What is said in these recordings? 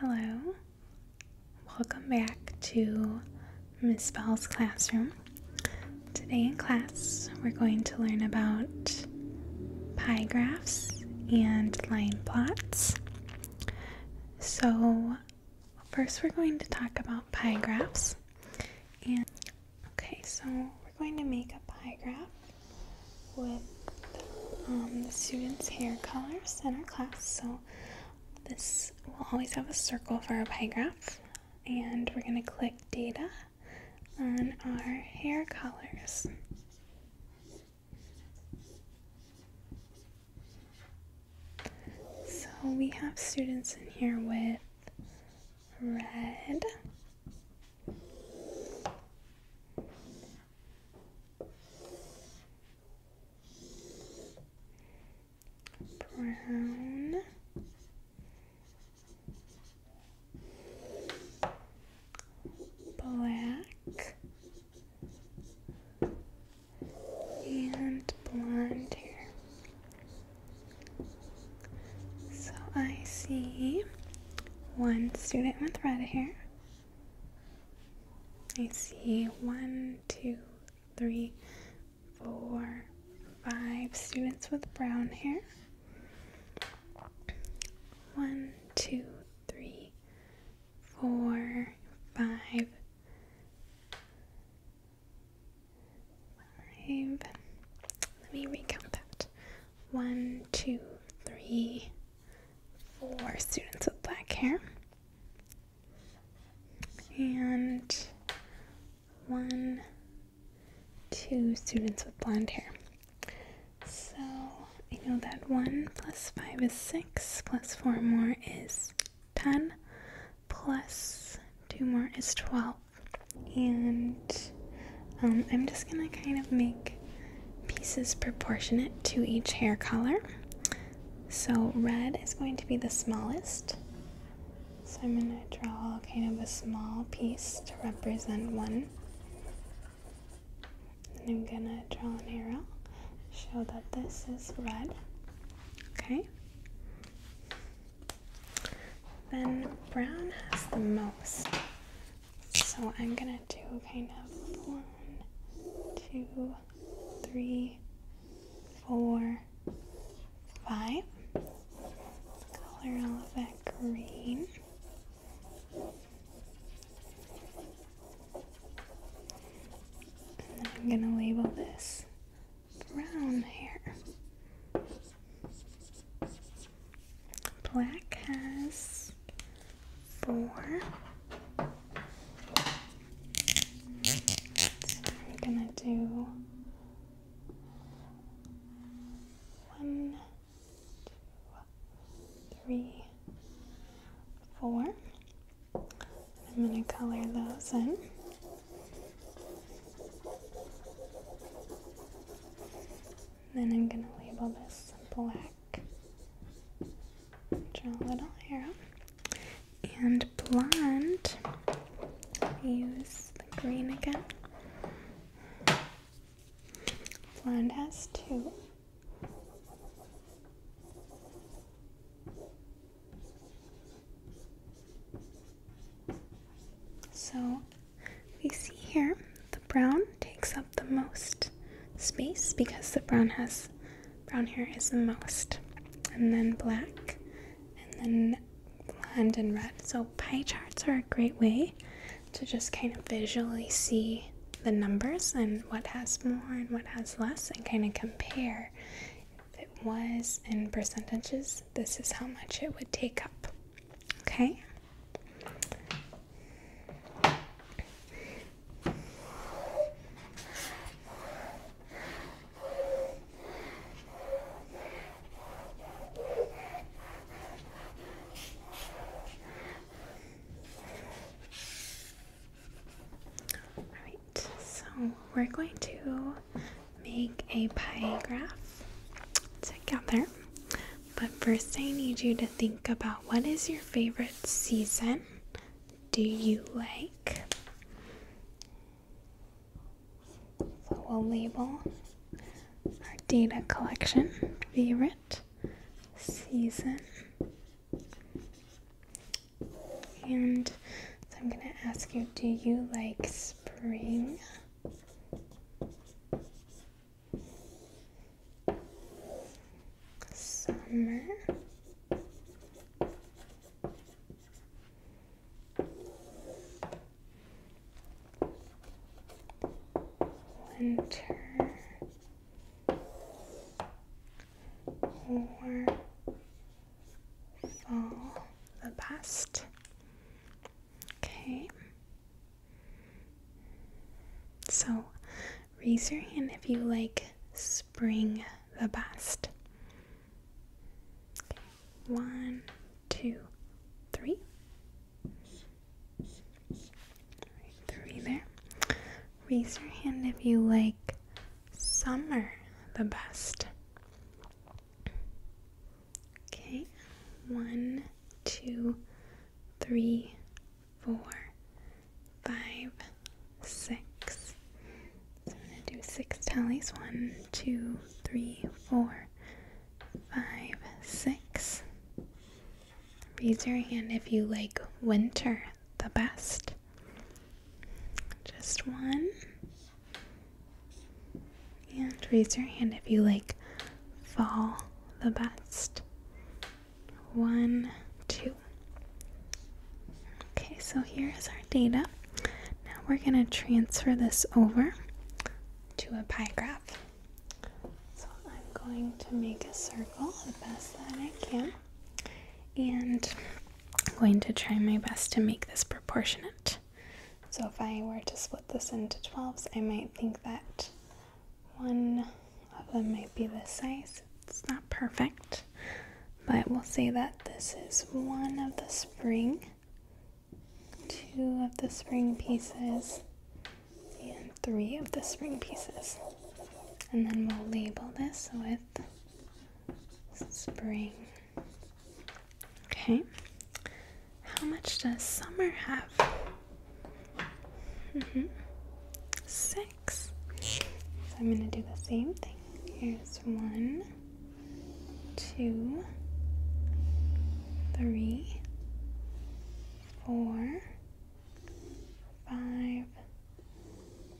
Hello, welcome back to Miss Bell's classroom. Today in class, we're going to learn about pie graphs and line plots. So, first, we're going to talk about pie graphs. And okay, so we're going to make a pie graph with um, the students' hair colors in our class. So this will always have a circle for our pie graph. And we're going to click data on our hair colors. So we have students in here with red, brown black and blonde hair so I see one student with red hair I see one, two, three, four, five students with brown hair. One, two, three, four, five, five. Let me recount that. One, two, three, four students with black hair and one, two students with blonde hair. So I know that 1 plus 5 is 6, plus 4 more is 10, plus 2 more is 12. And um, I'm just going to kind of make pieces proportionate to each hair color. So red is going to be the smallest. So I'm going to draw kind of a small piece to represent one. And I'm going to draw an arrow, show that this is red. Okay. Then brown has the most. So I'm going to do kind of one, two, three, four, five. Color all of that green. And then I'm going to label this brown hair. Black has four. I'm gonna do one, two, three, four. I'm gonna color those in. Then I'm gonna label this black. Draw a little arrow. And blonde, use the green again. Blonde has two. So we see here the brown takes up the most space because the brown has brown hair is the most. And then black, and then blonde and red. So pie charts are a great way to just kind of visually see the numbers and what has more and what has less and kind of compare if it was in percentages this is how much it would take up okay Alright, so we're going to make a pie graph together. But first, I need you to think about what is your favorite season do you like? So we'll label our data collection favorite season. And so I'm going to ask you do you like spring? summer. Winter or fall, the best. Okay. So raise your hand if you like spring the best. One, two, three. three there. Raise your hand if you like summer the best. Okay, one, two, three, four, five, six. So I'm going to do six tallies. One, two, three, four, five, six. Raise your hand if you like winter the best. Just one. And raise your hand if you like fall the best. One, two. Okay, so here is our data. Now we're going to transfer this over to a pie graph. So I'm going to make a circle the best that I can, and I'm going to try my best to make this proportionate. So if I were to split this into 12s, I might think that one of them might be this size it's not perfect, but we'll say that this is one of the spring, two of the spring pieces, and three of the spring pieces. And then we'll label this with spring. Okay. How much does summer have? Mm-hmm. Six. So I'm going to do the same thing. Here's one, two, three, four, five,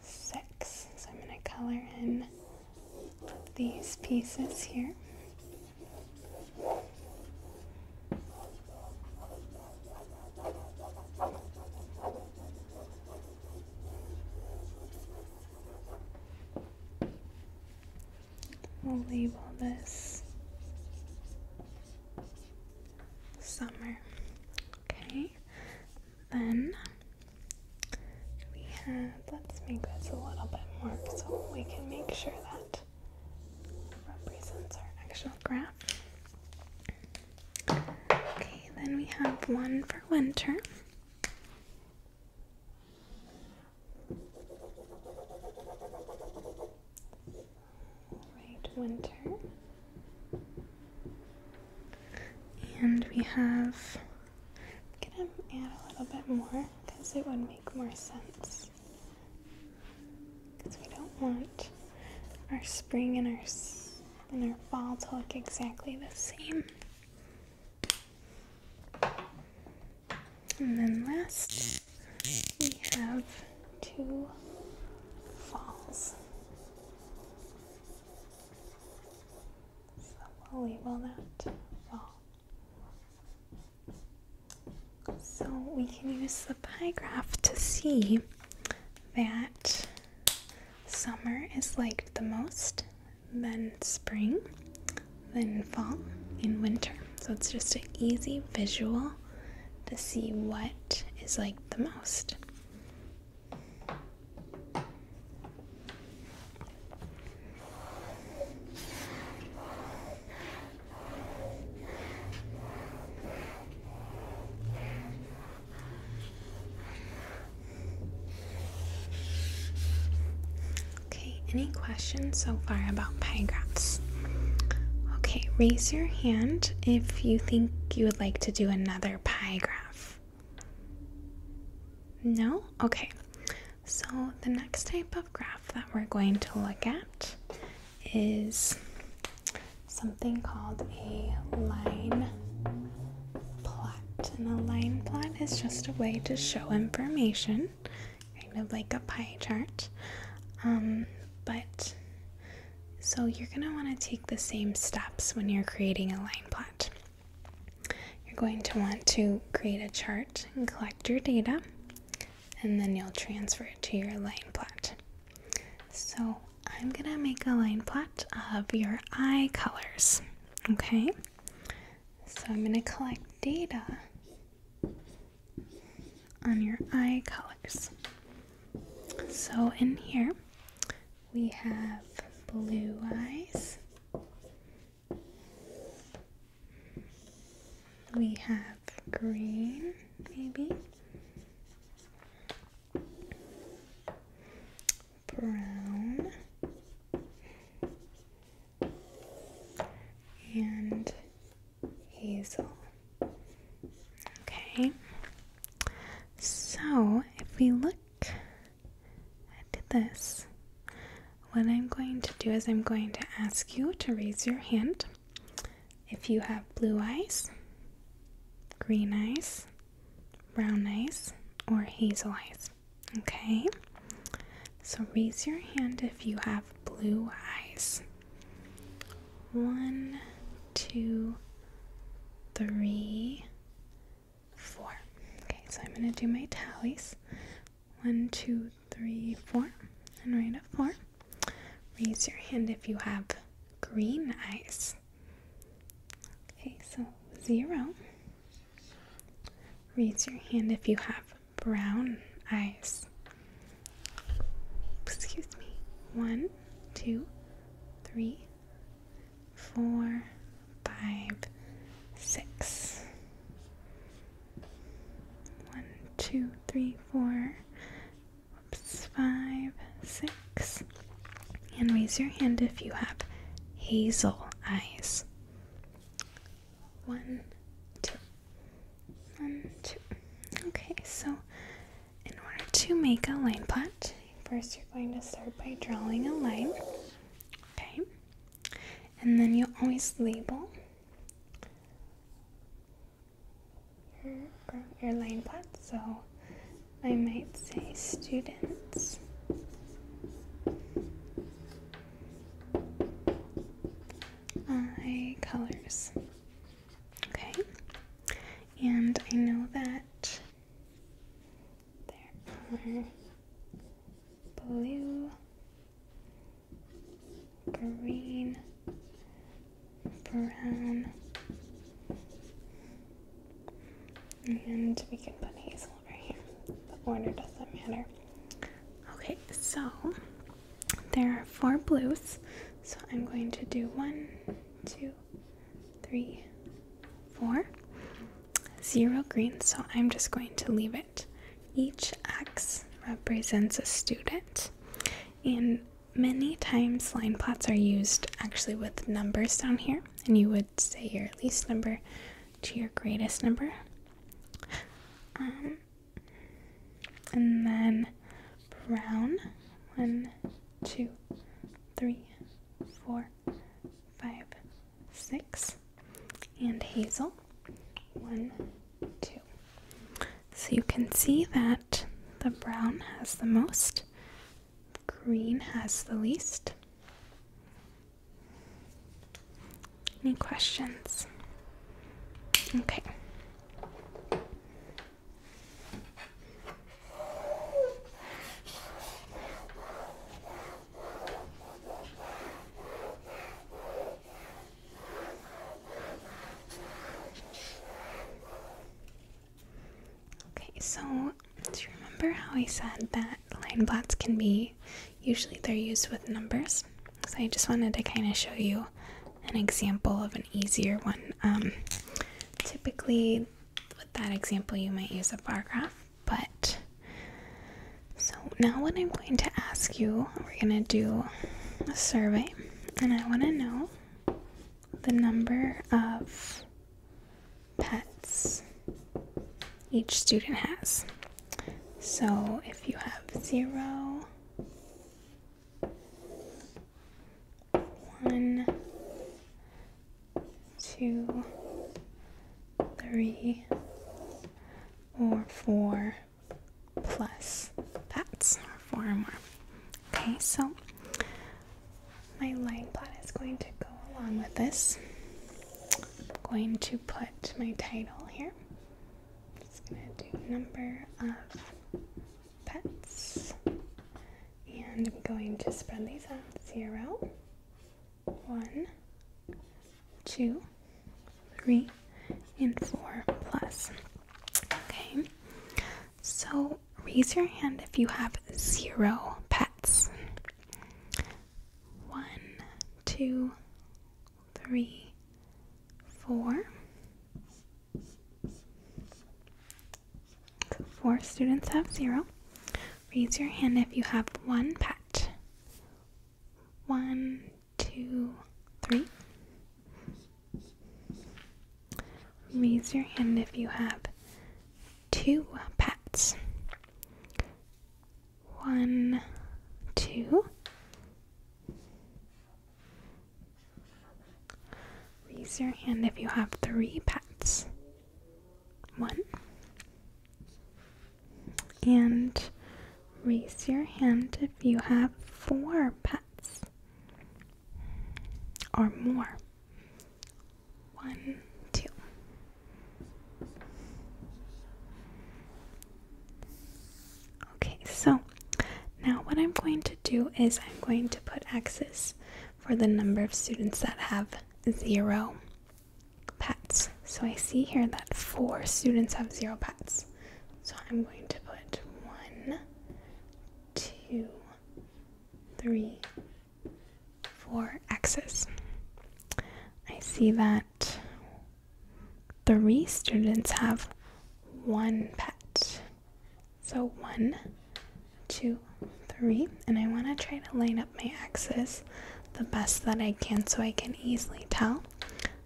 six. So I'm going to color in these pieces here. We'll label this summer. Okay, then we have, let's make this a little bit more so we can make sure that represents our actual graph. Okay, then we have one for winter. Right, winter. And we have, I'm gonna add a little bit more because it would make more sense. Because we don't want our spring and our and our fall look exactly the same. And then last, we have two falls. So we'll label that fall. So we can use the pie graph to see that Summer is liked the most, then spring, then fall, in winter. So it's just an easy visual to see what is liked the most. Okay, any questions so far about pie graphs? Okay, raise your hand if you think you would like to do another pie graph. No? Okay. So, the next type of graph that we're going to look at is something called a line plot. And a line plot is just a way to show information, kind of like a pie chart. Um, but so you're going to want to take the same steps when you're creating a line plot. You're going to want to create a chart and collect your data, and then you'll transfer it to your line plot. So I'm gonna make a line plot of your eye colors. Okay, so I'm gonna collect data on your eye colors. So in here we have blue eyes, we have green, maybe brown and hazel. Okay, so if we look at this, what I'm going to do is I'm going to ask you to raise your hand if you have blue eyes, green eyes brown eyes or hazel eyes. Okay? So raise your hand if you have blue eyes. One, two, three, four. Okay, so I'm going to do my tallies. One, two, three, four. And right at four. Raise your hand if you have green eyes. Okay, so zero raise your hand if you have brown eyes. Excuse me. One, two, three, four, five, six. One, two, three, four. Oops, five, six, and raise your hand if you have hazel eyes. One, Okay, so in order to make a line plot, first you're going to start by drawing a line. Okay. And then you'll always label your line plot. So I might say students. I colors. Okay, and I know that there are blue, green, brown, and we can put Hazel right here. The order doesn't matter. Okay, so there are four blues. So I'm going to do one, two, three, four, zero greens. So I'm just going to leave it. Each X represents a student. And many times line plots are used actually with numbers down here and you would say your least number to your greatest number. Um, and then brown. One, two, three, four, five, six. And hazel. One, two. So you can see that the brown has the most, Green has the least. Any questions? Okay. Okay, so do you remember how I said that line plots can be usually they're used with numbers? So I just wanted to kind of show you an example of an easier one. Um, typically, with that example, you might use a bar graph, but so now what I'm going to ask you, we're going to do a survey, and I want to know the number of pets each student has. So if you have zero, one, two, three, or four plus pets, four or more. Okay, so my line plot is going to go along with this. I'm going to put my title here. I'm just going to do number of pets. And I'm going to spread these out. Zero, one, two, three, and four plus. Okay. So raise your hand if you have zero pets one, two, three, four. So four students have zero. Raise your hand if you have one pet. One, two, three. Raise your hand if you have two pets. One, two. Raise your hand if you have three pets. One. And raise your hand if you have four pets or more. One, two. Okay, so now what I'm going to do is I'm going to put X's for the number of students that have zero pets. So I see here that four students have zero pets. So I'm going to put one, two, three, for axes, I see that three students have one pet. So one, two, three. And I want to try to line up my axes the best that I can so I can easily tell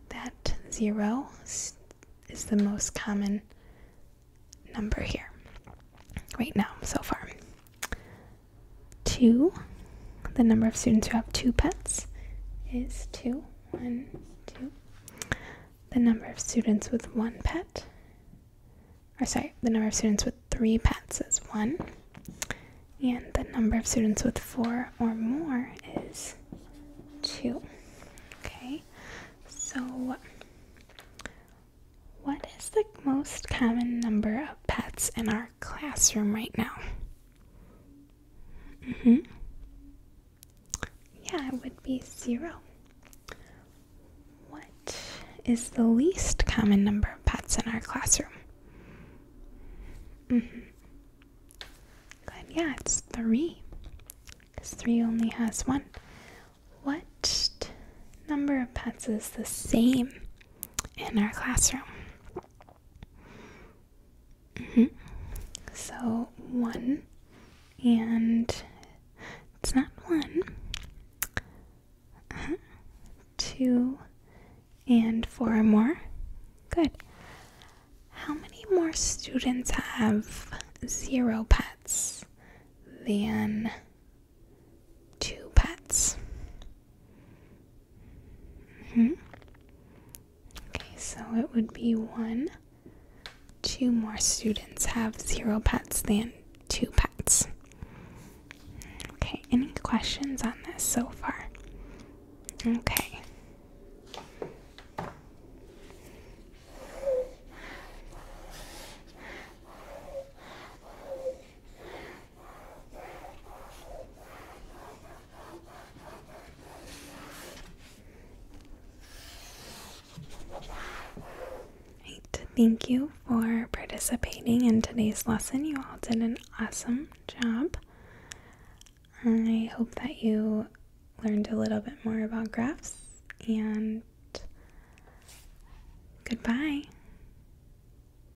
that zero is the most common number here right now so far two. The number of students who have two pets is two. One, two. The number of students with one pet, or sorry, the number of students with three pets is one. And the number of students with four or more is two. Okay, so what is the most common number of pets in our classroom right now. Mm -hmm. Yeah, it would be zero. What is the least common number of pets in our classroom? Mm -hmm. Good, yeah, it's three. Because three only has one. What number of pets is the same in our classroom. Mm-hmm. So, one, and it's not one, uh-huh, two, and four or more. Good. How many more students have zero pets than two pets? -hmm. Okay, so it would be one. Two more students have zero pets than two pets. Okay, any questions on this so far? Okay. Thank you for participating in today's lesson. You all did an awesome job. I hope that you learned a little bit more about graphs and goodbye.